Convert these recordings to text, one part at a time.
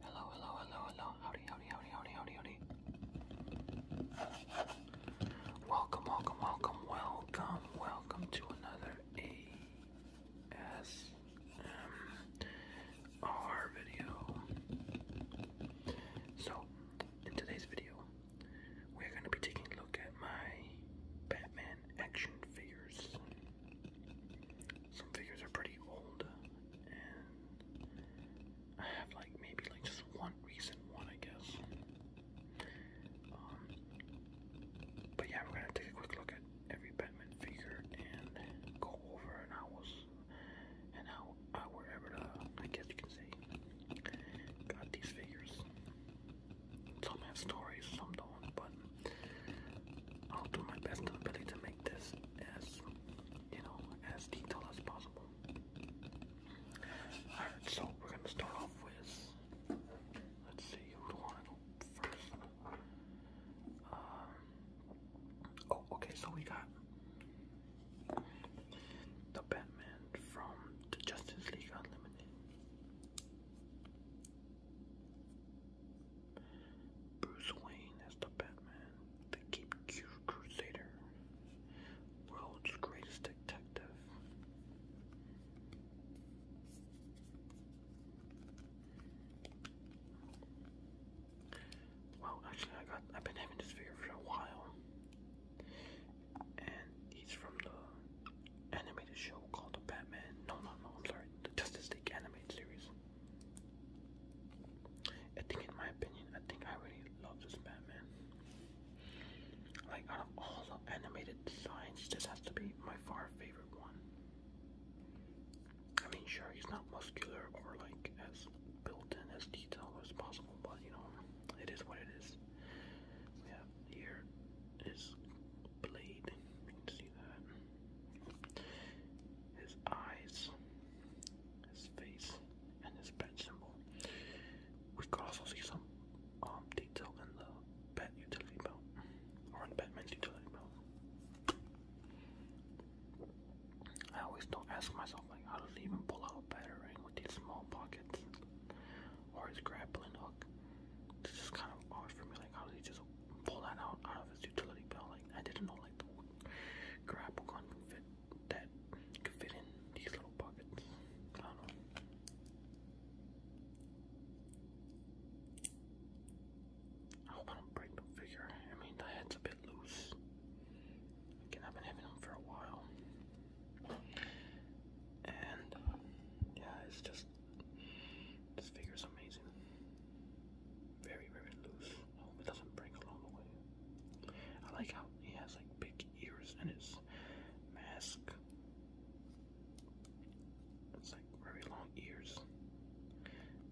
Hello, hello, hello, hello. Howdy, howdy, howdy, howdy, howdy, howdy. Welcome, welcome, welcome, welcome, welcome to another ASMR video. So, in today's video, we're going to be taking a look at my Batman action figures. Some figures are pretty old, and I have like maybe like just one recent one, I guess. Um, but yeah, we're gonna take a quick look at every Batman figure and go over and I and how I wherever uh, I guess you can say got these figures. Some have stories, some don't, but I'll do my best ability to make this as you know as detailed as possible. Alright, so we're gonna start off with let's see who do wanna go first. Um, oh okay so we got the Batman from the Justice League Unlimited. Bruce Wayne as the Batman, the Cape Crusader, world's greatest detective. Well, actually, I got I've been having this figure for a while, and he's from the animated show called Batman. No, no, no. I'm sorry. The Justice League animated series. I think, in my opinion, I think I really love this Batman. Like, out of all the animated designs, this has to be my far favorite one. I mean, sure, he's not muscular or like as built in, as detailed as possible, but you know, it is what it is. We here is Blade. see that his eyes, his face, and his pet symbol. We could also see some um, detail in the pet utility belt, or in Batman's utility belt. I always don't ask myself, like, how does he even pull out a battering with these small pockets, or his grappling hook? It's just kind of odd for me, like, how does he just pull that out out of his utility belt. Like I didn't know like the grapple gun could fit that could fit in these little pockets. I hope I don't break the figure. I mean the head's a bit loose. Again, I've been having them for a while. And yeah, it's just this figure is amazing. Very, very loose. I oh, hope it doesn't break along the way. I like how he has like big ears in his mask. It's like very long ears.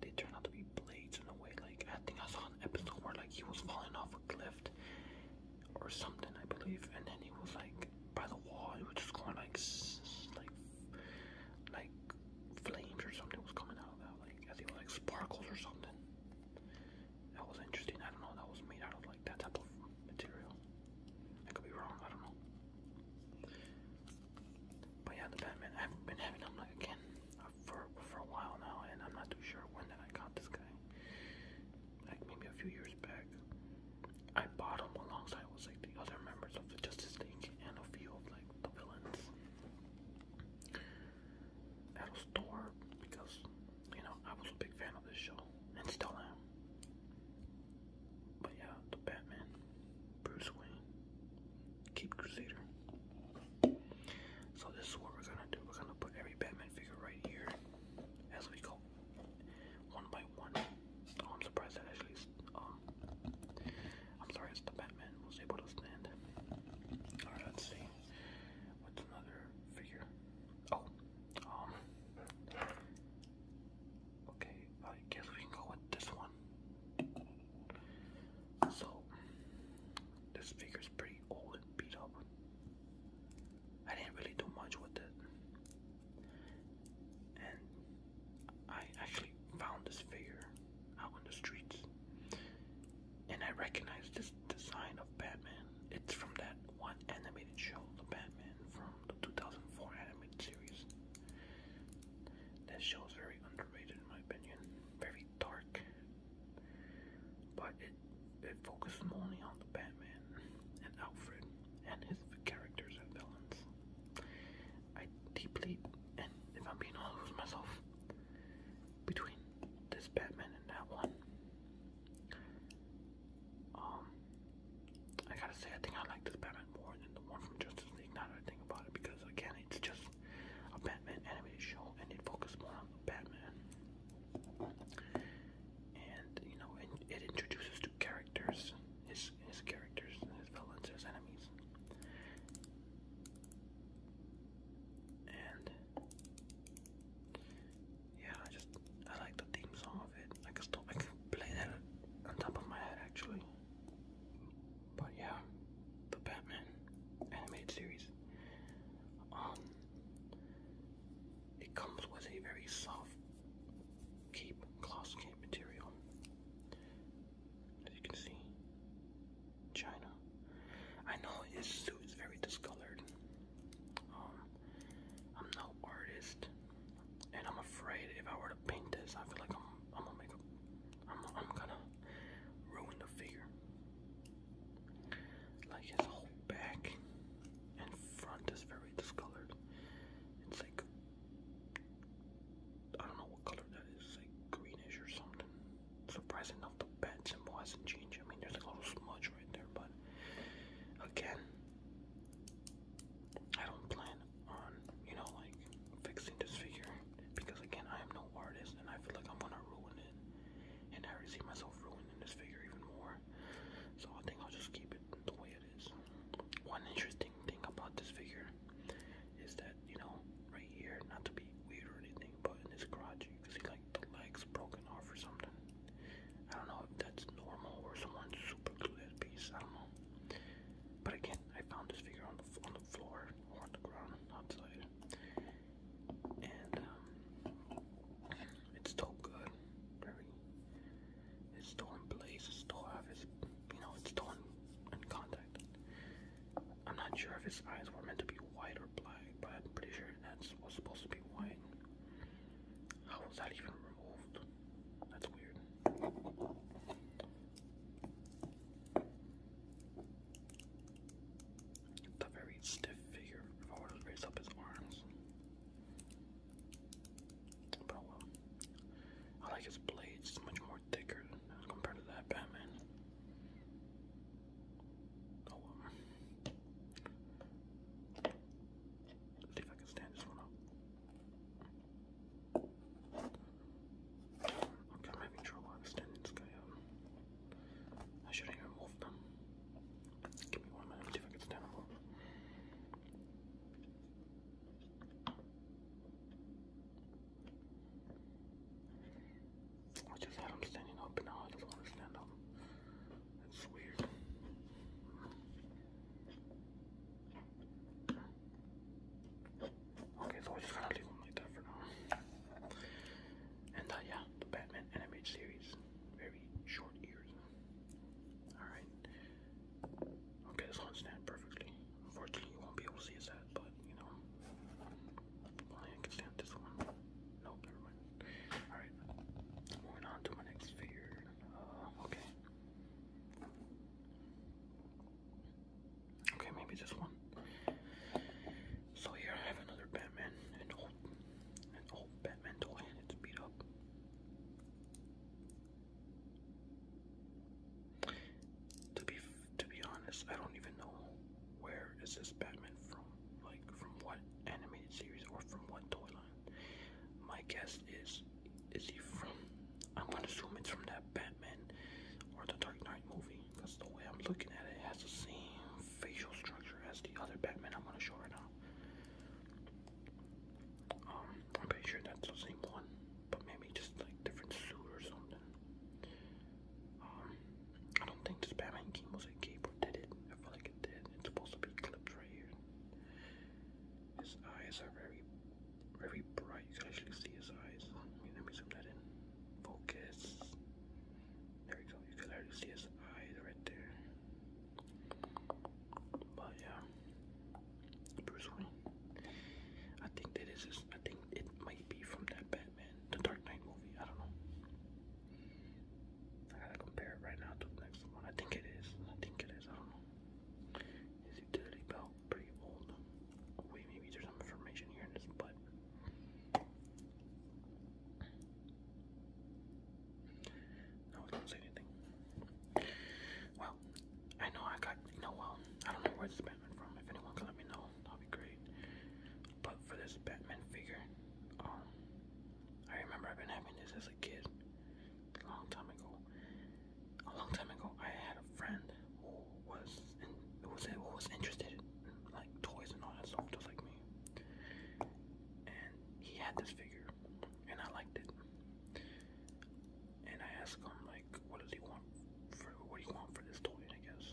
They turn out to be blades in a way. Like I think I saw an episode where like he was falling off a cliff or something, I believe, and then he was like by the wall. He was just going like like like flames or something was coming out of that, like I think like sparkles or something. That was interesting. I don't know. That was made out of like that type of material. I could be wrong. I don't know. But yeah, the Batman. I have been having him like again uh, for for a while now, and I'm not too sure when that I got this guy. Like maybe a few years back. I bought him alongside with like the other members of the Justice League and a few of like the villains at a store because you know I was a big fan of this show and still am. But yeah, the Batman, Bruce Wayne, Keep Crusader. So this is what we're gonna do. We're gonna put every Batman figure right here as we go, one by one. I'm surprised that actually um I'm sorry, it's the Batman was able to stand. Alright, let's see. What's another figure? Oh, um. Okay, I guess we can go with this one. So, this figure's pretty old and beat up. I didn't really do much with it and I actually found this figure out in the streets, and I recognize this design of Batman. It's from that one animated show, The Batman, from the 2004 animated series. That show is very underrated, in my opinion. Very dark, but it it focuses only on the Batman and Alfred and his characters and villains. I deeply, and if I'm being honest with myself, between this Batman and that one, um, I gotta say, I think I like this Batman more than the one from Justice League. Not everything about it, because again, it's just a Batman animated show, and it focuses more on Batman, and you know, and it introduces characters, his his characters, his villains, his enemies. And yeah, I just I like the theme song of it. I can still I can play that on top of my head actually. But yeah, the Batman animated series. Um it comes with a very soft cape, gloss cape material. As you can see, China. I know his suit is very discolored. Um, I'm no artist, and I'm afraid if I were to paint this, I feel like I'm, gonna make I'm, I'm gonna ruin the figure. Like his whole back and front is very discolored. It's like I don't know what color that is, like greenish or something. Surprising enough, the bed symbol hasn't changed. I mean, there's a little smudge right there, but again, I don't plan on, you know, like fixing this figure because, again, I am no artist and I feel like I'm gonna ruin it. And I already see myself ruining this figure even more, so I think I'll just keep it the way it is one interesting thing about this figure is that you know right here, not to be weird or anything, but in this garage you can see like the legs broken off or something. I don't know if that's normal or someone super glued that piece. I don't know. But again, I found this figure on the on the floor or on the ground outside, and um, it's still good. Very it's still in place. It's still have his, you know, it's still in, in contact. I'm not sure if his eyes were meant to be white or black, but I'm pretty sure that's was supposed to be white. How was that even removed? That's weird. It's a very stiff figure. If I were to raise up his arms, but I like his blades. It's much more thicker compared to that Batman. Oh Let's see if I can stand this one up. Okay, I'm having trouble understanding this guy up. Um, I shouldn't even move them. Give me one minute, see if I can stand them up. I just had them standing up and now I just want to stand up. It's weird. Okay, so I just gotta leave them like that for now. And uh, yeah, the Batman animated series. Very short ears. Alright. Okay, it's on stand perfectly. Unfortunately, you won't be able to see his head, but you know, I can stand this one. Nope, Alright, moving on to my next figure. Uh, okay. Okay, maybe this one. So here I have another Batman, an old, an old Batman toy, it's beat up. To be to be honest, I don't even know where is this Batman from, like from what animated series or from what toy line. My guess is, is he from? I'm gonna assume it's from that Batman or the Dark Knight movie, because the way I'm looking at it, it has the same facial structure as the other Batman I'm gonna show right now. Um, I'm pretty sure that's the same one, but maybe just like different suit or something. Um, I don't think this Batman game was a cape or did it? I feel like it did. It's supposed to be clipped right here. His eyes are very, very bright. You can actually see his eyes. Let me zoom that in. Focus. There we go. You can already see his eyes right there. But yeah, Bruce Wayne. I think that is. I think it might be from that Batman, the Dark Knight movie. I don't know. I gotta compare it right now to the next one. I think it is. I think it is. I don't know. His utility belt pretty old. wait, maybe there's some information here in this butt. No, it doesn't say anything. Wow, I know I got, you know, well, I don't know where this Batman from. If anyone can let me know, that would be great. But for this Batman figure, um, I remember I've been having this as a kid, a long time ago. A long time ago, I had a friend who was, in, who was, who was interested in like toys and all that stuff, just like me. And he had this figure, and I liked it and I ask him like, what does he want for what he you want for this toy? I guess.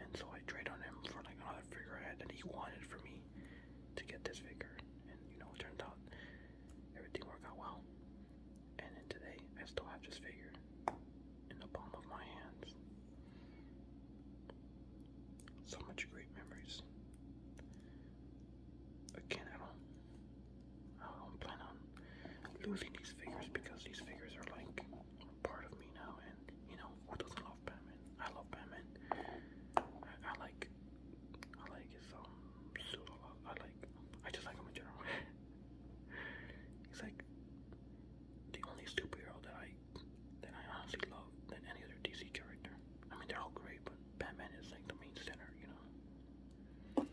And so I trade on him for like another figure I that he wanted for me to get this figure, and you know, it turned out everything worked out well. And then today, I still have this figure in the palm of my hands. So much great memories. I don't I um, don't plan on losing these figures because these figures are like part of me now. And you know, who doesn't love Batman? I love Batman. I, like, I like his um suit I like, I just like him in general. He's like the only superhero that I that I honestly love than any other DC character. I mean, they're all great, but Batman is like the main center, you know.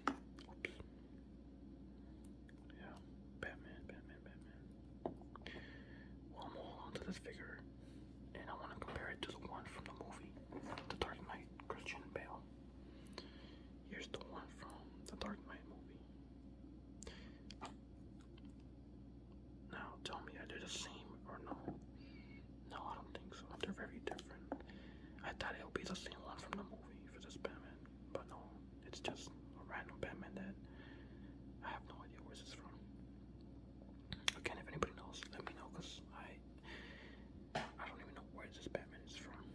Yeah, Batman, Batman, Batman. I'm holding on this figure, and I want to compare it to the one from the movie, The Dark Knight, Christian Bale. Here's the one from the Dark Knight movie. Now, tell me, are they the same or no? No, I don't think so. They're very different. I thought it would be the same one from the movie for this Batman, but no, it's just a random Batman that I have no idea where this is from. Again, if anybody knows, let me know, cause I I don't even know where this Batman is from,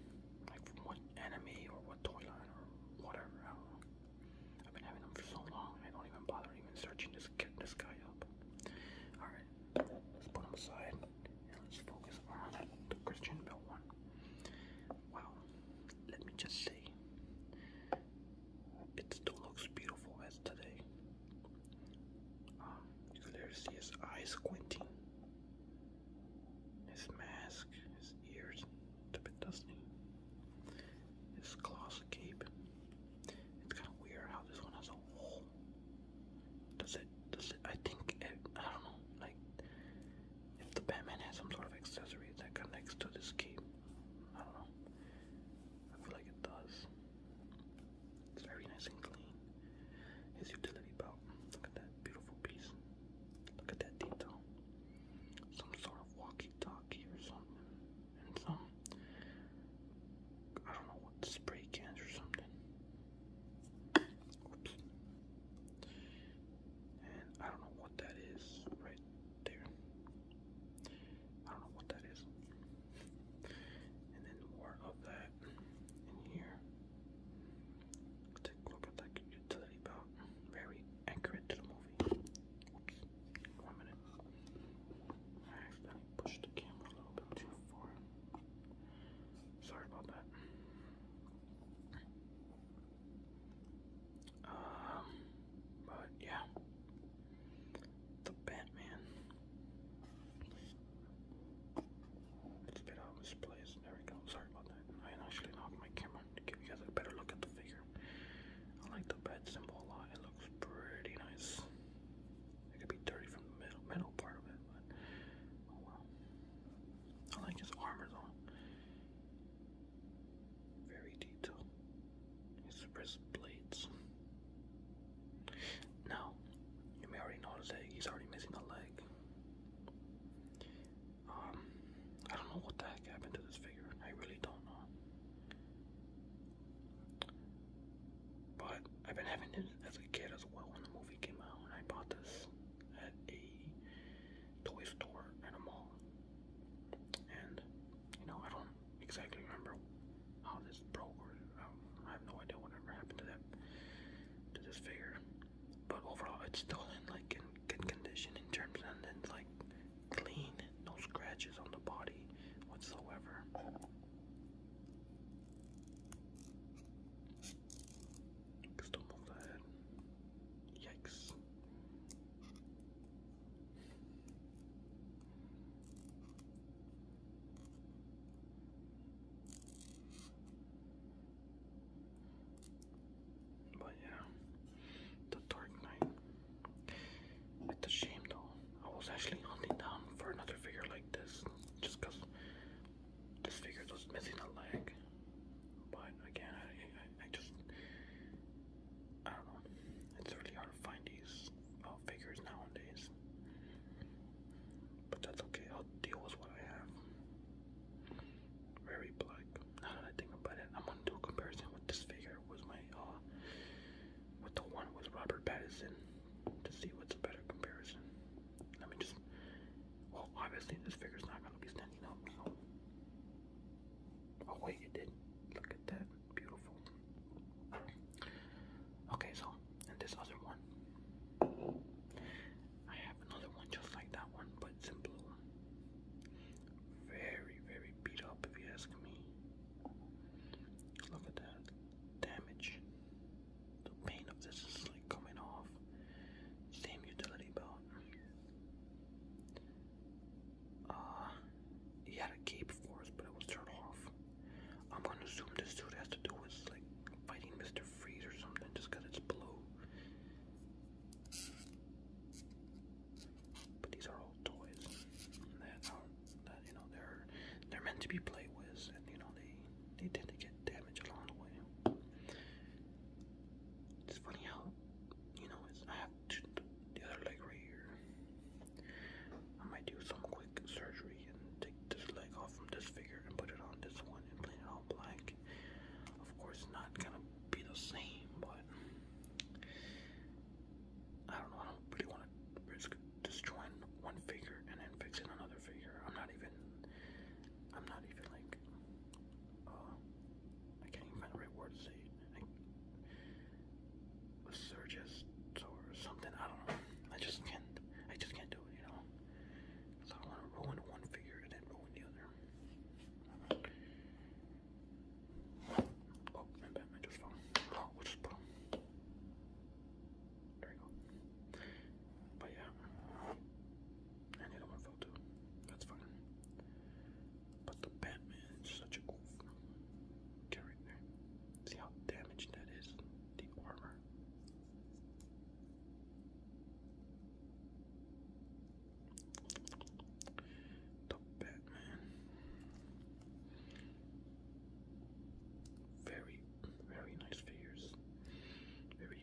like from what enemy or what toy line or whatever. I have been having them for so long, I don't even bother even searching this this guy up. All right, Let's put them aside and let's focus on the Christian Bell one. Wow, let me just see it still looks beautiful as today. Um, you can there see his eyes squinting, his mask, his ears, a bit dusty, his gloss cape. It's kind of weird how this one has a hole does it? Does it? I think it, I don't know. Like, if the Batman has some sort of accessory that connects to this cape, I don't know. I feel like it does. It's very nice and clean. His utility belt. Look at that beautiful piece. Look at that detail. Some sort of walkie-talkie or something, and some I don't know what spray cans or something. I don't know what that is right there. I don't know what that is. And then more of that in here. Take a look at that utility belt. Very accurate to the movie. Oops. One minute. I accidentally the camera a little bit too far. Sorry about that. Um, but yeah, the Batman. Let's get out of place. There we go. Sorry about that. I actually knocked my camera to give you guys a better look at the figure. I like the bat symbol a lot. It looks pretty nice. It could be dirty from the middle middle part of it, but oh well. I like his armor's on. Very detailed. His wrist blades. Now, you may already notice that he's already missing a leg. Um, I don't know what the heck happened to this figure. I really don't know. But I've been having it as a kid as well when the movie came out, and I bought this at a toy store at a mall. And you know, I don't exactly remember how this broke, or I have no idea whatever happened to that to this figure. But overall, it's still in like in good condition in terms, and then like clean, no scratches on the body whatsoever. Stumbled ahead. Yikes. But yeah, the Dark Knight. It's a shame though. I was actually hunting down for another figure like this just because this figure was missing a leg. But again, I, I, just, I don't know. It's really hard to find these uh, figures nowadays. But that's okay, I'll deal with what I have. Very black. Now that I think about it, I'm gonna do a comparison with this figure with my, uh, with the one with Robert Pattinson to see what's a better comparison. Let me just. Well, obviously this figure's not gonna be standing up. Oh wait, it did. Look at that, beautiful. Okay, so and this other one, I have another one just like that one, but in blue. Very, very beat up, if you ask me. Look at that damage the paint of this is like coming off. Same utility belt. Uh, he had a cape before, but it was turned off. I'm gonna assume this suit has to do with like fighting Mr. Freeze or something, just cause it's blue. But these are all toys. And that you know they're they're meant to be played with, and you know they they tend to get damaged along the way. It's funny how you know it's I have to, the other leg right here. I might do some quick surgery and take this leg off from this figure and put it on this one and paint it all black. Of course, not gonna be the same, but I don't know. I don't really want to risk it? just join one figure and then fix in another figure. I'm not even, I'm not even like, uh, I can't even find the right words to say a surgist or something. I don't know. I just can't. I just can't do it. You know. So I want to ruin one figure and then ruin the other. Oh, my Batman just fell. Oh, we just put Draco. But yeah. And the other one too. That's fine. But the Batman such a cool character. See how damaged that is? The armor. The Batman. Very very nice figures. Very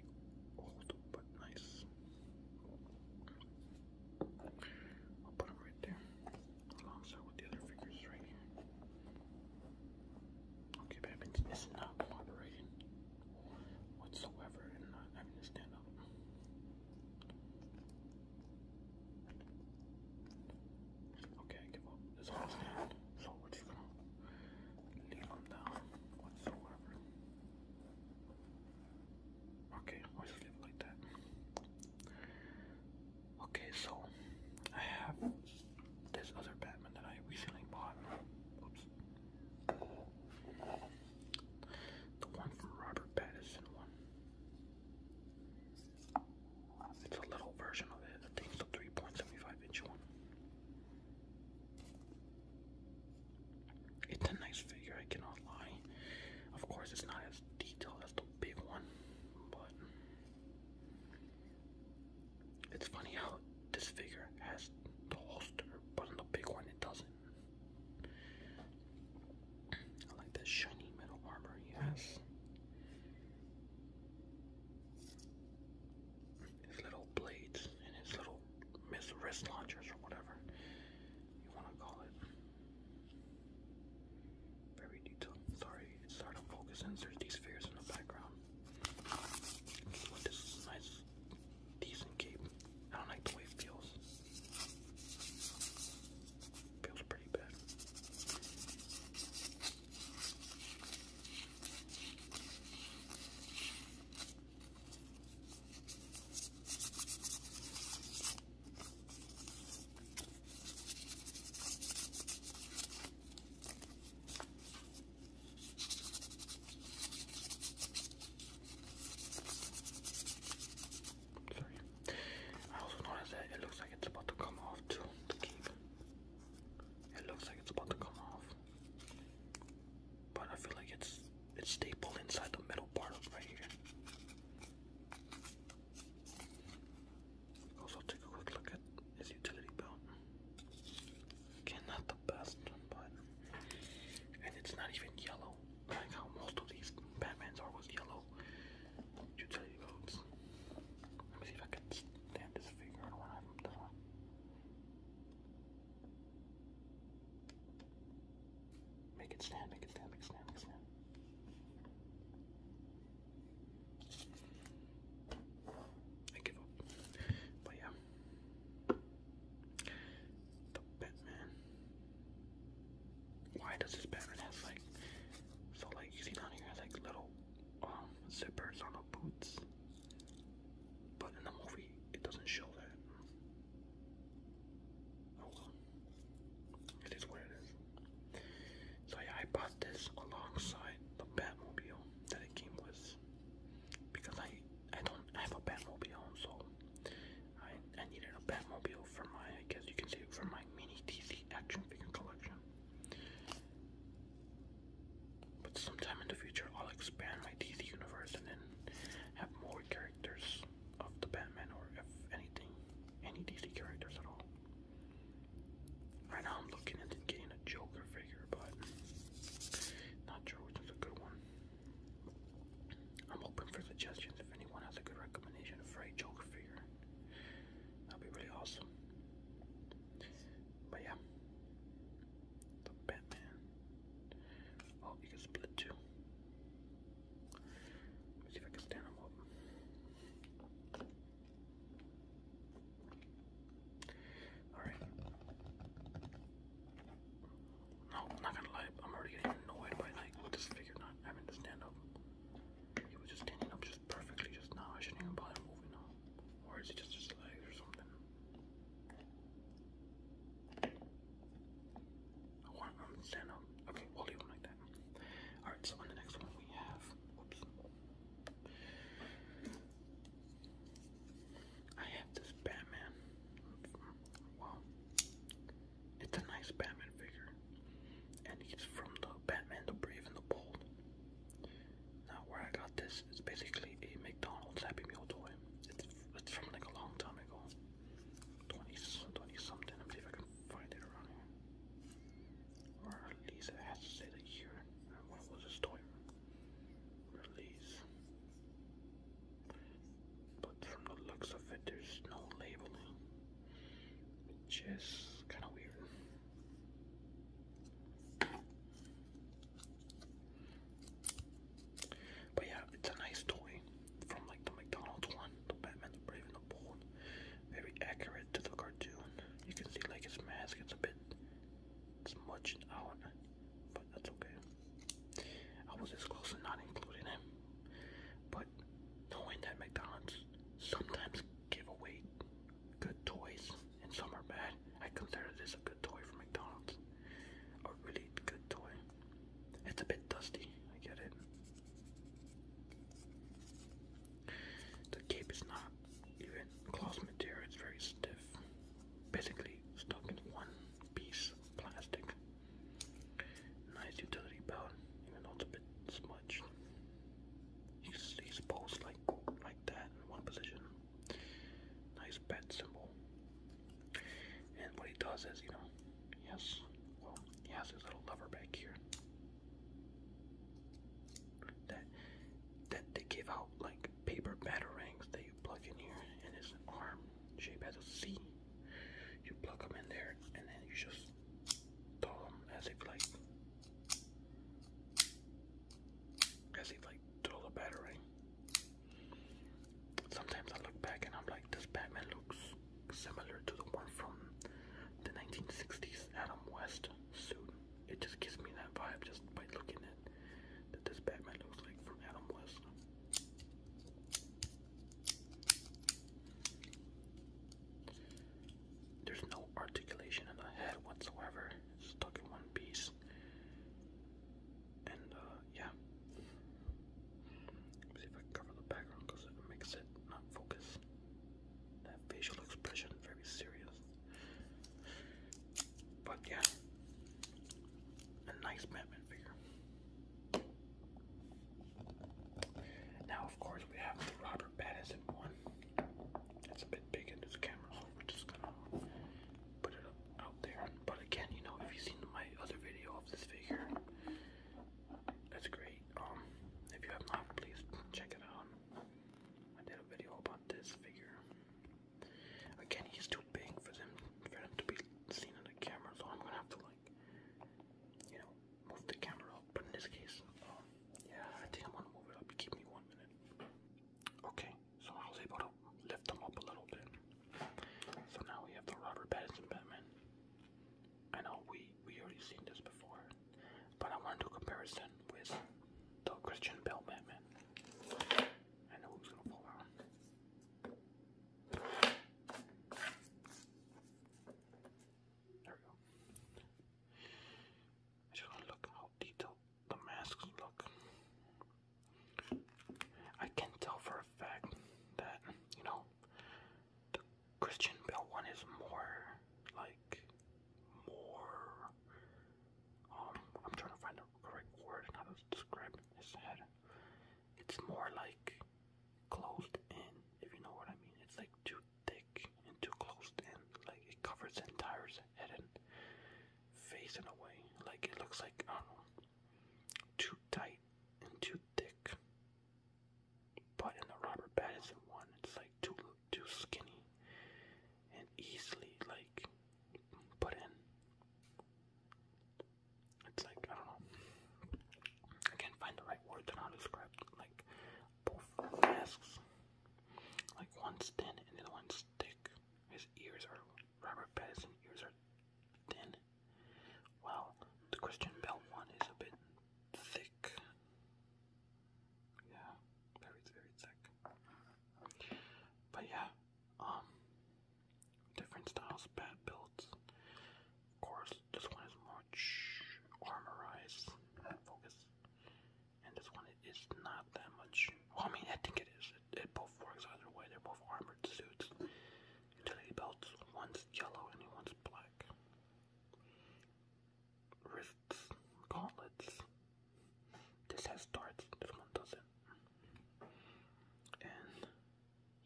old but nice. I'll put them right there alongside with the other figures right here. Okay, Babbage is not cooperating whatsoever and not having to stand up. Okay, I give up. This whole so we're just gonna leave them down whatsoever. Okay, I will just leave it like that. Okay, so I have this other Batman that I recently bought. Oops. The one from Robert Pattinson it's a little version of it. I think it's a 3.75 inch one. It's a nice figure, I cannot lie. Of course, it's not as detailed as the big one, but it's funny how this figure has the holster, but on the big one it doesn't. I like that shiny metal armor Yes his little blades and his little miss wrist launchers or whatever you want to call it. Very detailed. Sorry, it's to focus in. There's these figures in the background. this is nice, decent cape. I don't like the way it feels. Feels pretty bad. Sorry. I also noticed that it looks like it's about to come off too. It looks like it's about to come off. But I feel like it's it's stapled inside the middle part right here. Also take a quick look at his utility belt. Again, not the best, but and it's not even yellow. Like how most of these Batmans are with yellow utility belts. Let me see if I can Damn, just figuring when I'm done. Make it stand, make it stand, make it stand, make it stand. I give up. But yeah. The Batman. Why does this Batman have like so like you down here like little um, zippers on the boots, but in the movie it doesn't show that. it is what it is. So yeah, I bought this alongside the Batmobile that it came with because I I don't have a Batmobile, so I I needed a Batmobile for my I guess you can say for my mini DC action figure collection. But sometime in the future, I'll expand my DC universe and then have more characters of the Batman or if anything, any DC characters at all. Right now, I'm looking into getting a Joker figure, but not sure which is a good one. I'm open for suggestions if anyone has a good recommendation for a Joker figure. That'd be really awesome. But yeah, the Batman. Oh, you can split too. see if I can stand him up. Alright. No, not gonna lie, I'm already getting annoyed by like this figure not having to stand up. It was just standing up just perfectly just now. I shouldn't even bother moving now. Or is it just his legs or something? I want him um, to stand up. Okay, we him like that. Alright, so on the next one we have. Whoops. I have this Batman. Wow. It's a nice Batman figure. And he's from the Batman the Brave and the Bold. Now, where I got this is basically a McDonald's Happy Meal toy. It's, from like a long time ago, 20, something, 20 something. Let me see if I can find it around here. Or at least it has to say the year. When was this toy released? But from the looks of it, there's no labeling, which is kind of weird. But yeah, it's a nice toy from like the McDonald's one, the Batman, the Brave and the Bold. Very accurate to the cartoon. You can see like his mask, it's a bit smudged out, but that's okay. I was this close to not including him, but knowing that McDonald's sometimes give away good toys and some are bad. I consider this a good toy for McDonald's. A really good toy. It's a bit dusty, I get it. The cape is not even cloth material, it's very stiff. Basically stuck in one piece of plastic. Nice utility belt, even though it's a bit smudged. He's, he's posed like like that in one position. Nice bed symbol. And what he does is, you know, yes, well, he has his little lever back here. That that they give out like paper batarangs that you plug in here, and his arm shape has a C. You plug them in there, and then you just Told him as if like as if like throw the battering. Sometimes I look back and I'm like, this Batman looks similar to the one from the 1960s Adam West suit. It just gives me that vibe just by looking at that this Batman looks like from Adam West. There's no articulation in the head whatsoever. It's stuck in one piece. And uh, yeah. see if I cover the background because it makes it not focus. That facial expression very serious. But yeah. A nice Batman figure. Now of course we have the Robert bad as it one. It's a bit big into the camera, so we're just gonna put it up, out there. But again, you know, if you've seen my other video of this figure, that's great. Um, if you have not, please check it out. I did a video about this figure. Again, he's too big for them for him to be seen in the camera, so I'm gonna have to like, you know, move the camera up, but in this case, um, yeah, I think I'm gonna move it up. Give me one minute. Okay, so I was able to lift them up a little bit. So now we have the Robert Batman. I know we we already seen this before, but I want to comparison with the Christian Bell Batman. I know who's gonna fall out. There we go. I just want look how detailed the masks look. I can tell for a fact that, you know, the Christian Bell one is more like more um I'm trying to find the correct word and how to describe his head. It's more like closed in, if you know what I mean. It's like two thick and too closed in, like it covers the entire head and face in a way. Like it looks like I don't know, too tight and too thick. But in the rubber Robert Pattinson one, it's like too too skinny and easily like put in. It's like I don't know. I can't find the right words to how to describe. Like both masks, like one's thin and the other one's thick. His ears are Robert Pattinson's ears are thin, while the Christian Bell one is a bit thick. Yeah, very very thick. But yeah, um, different styles, bad builds. Of course, this one is more launch armorize focus. And this one is not that much. Well, I mean, I think it is. It, both works either way. They're both armored suits. Utility belts. One's yellow and one's black. Wrists. Gauntlets. This has darts. This one doesn't. And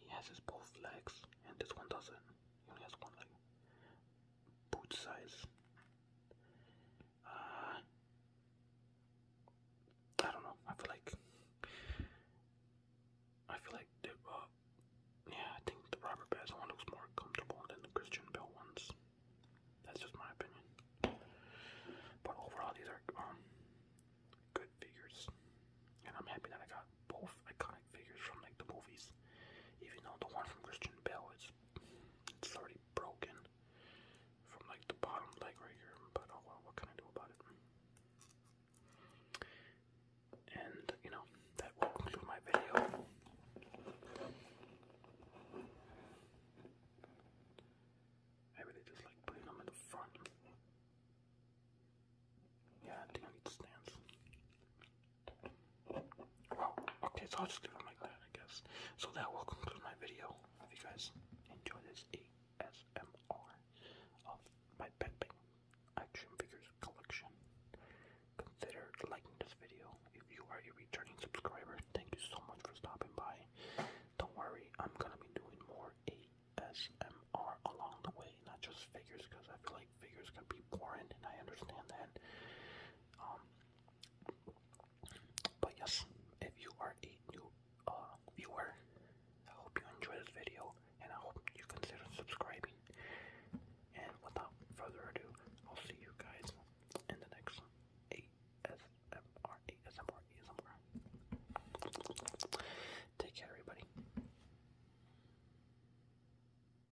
he has his both legs. And this one doesn't. He only has one leg boot size. Uh, I don't know. I feel like I feel like the uh, yeah, I think the Robert Bass looks more comfortable than the Christian Bell ones. That's just my opinion. But overall, these are um good figures, and I'm happy that I got both iconic figures from like the movies. Even though the one from Christian Bell is it's already broken from like the bottom leg right here, but oh well, what can I do about it? And you know, that will conclude my video. I really just like putting them in the front. Yeah, I think I need stands. Well, okay, so I'll just leave it like that, I guess. So that will conclude my video. If you guys enjoy this ASMR of my Pet Bang action figures collection, consider liking this video. If you are a returning subscriber, thank you so much for stopping by. Don't worry, I'm gonna be doing more ASMR along the way, not just figures, because I feel like figure is going to be boring, and I understand that. Um, but yes, if you are a new uh, viewer, I hope you enjoy this video, and I hope you consider subscribing. And without further ado, I'll see you guys in the next ASMR, ASMR, ASMR. Take care, everybody.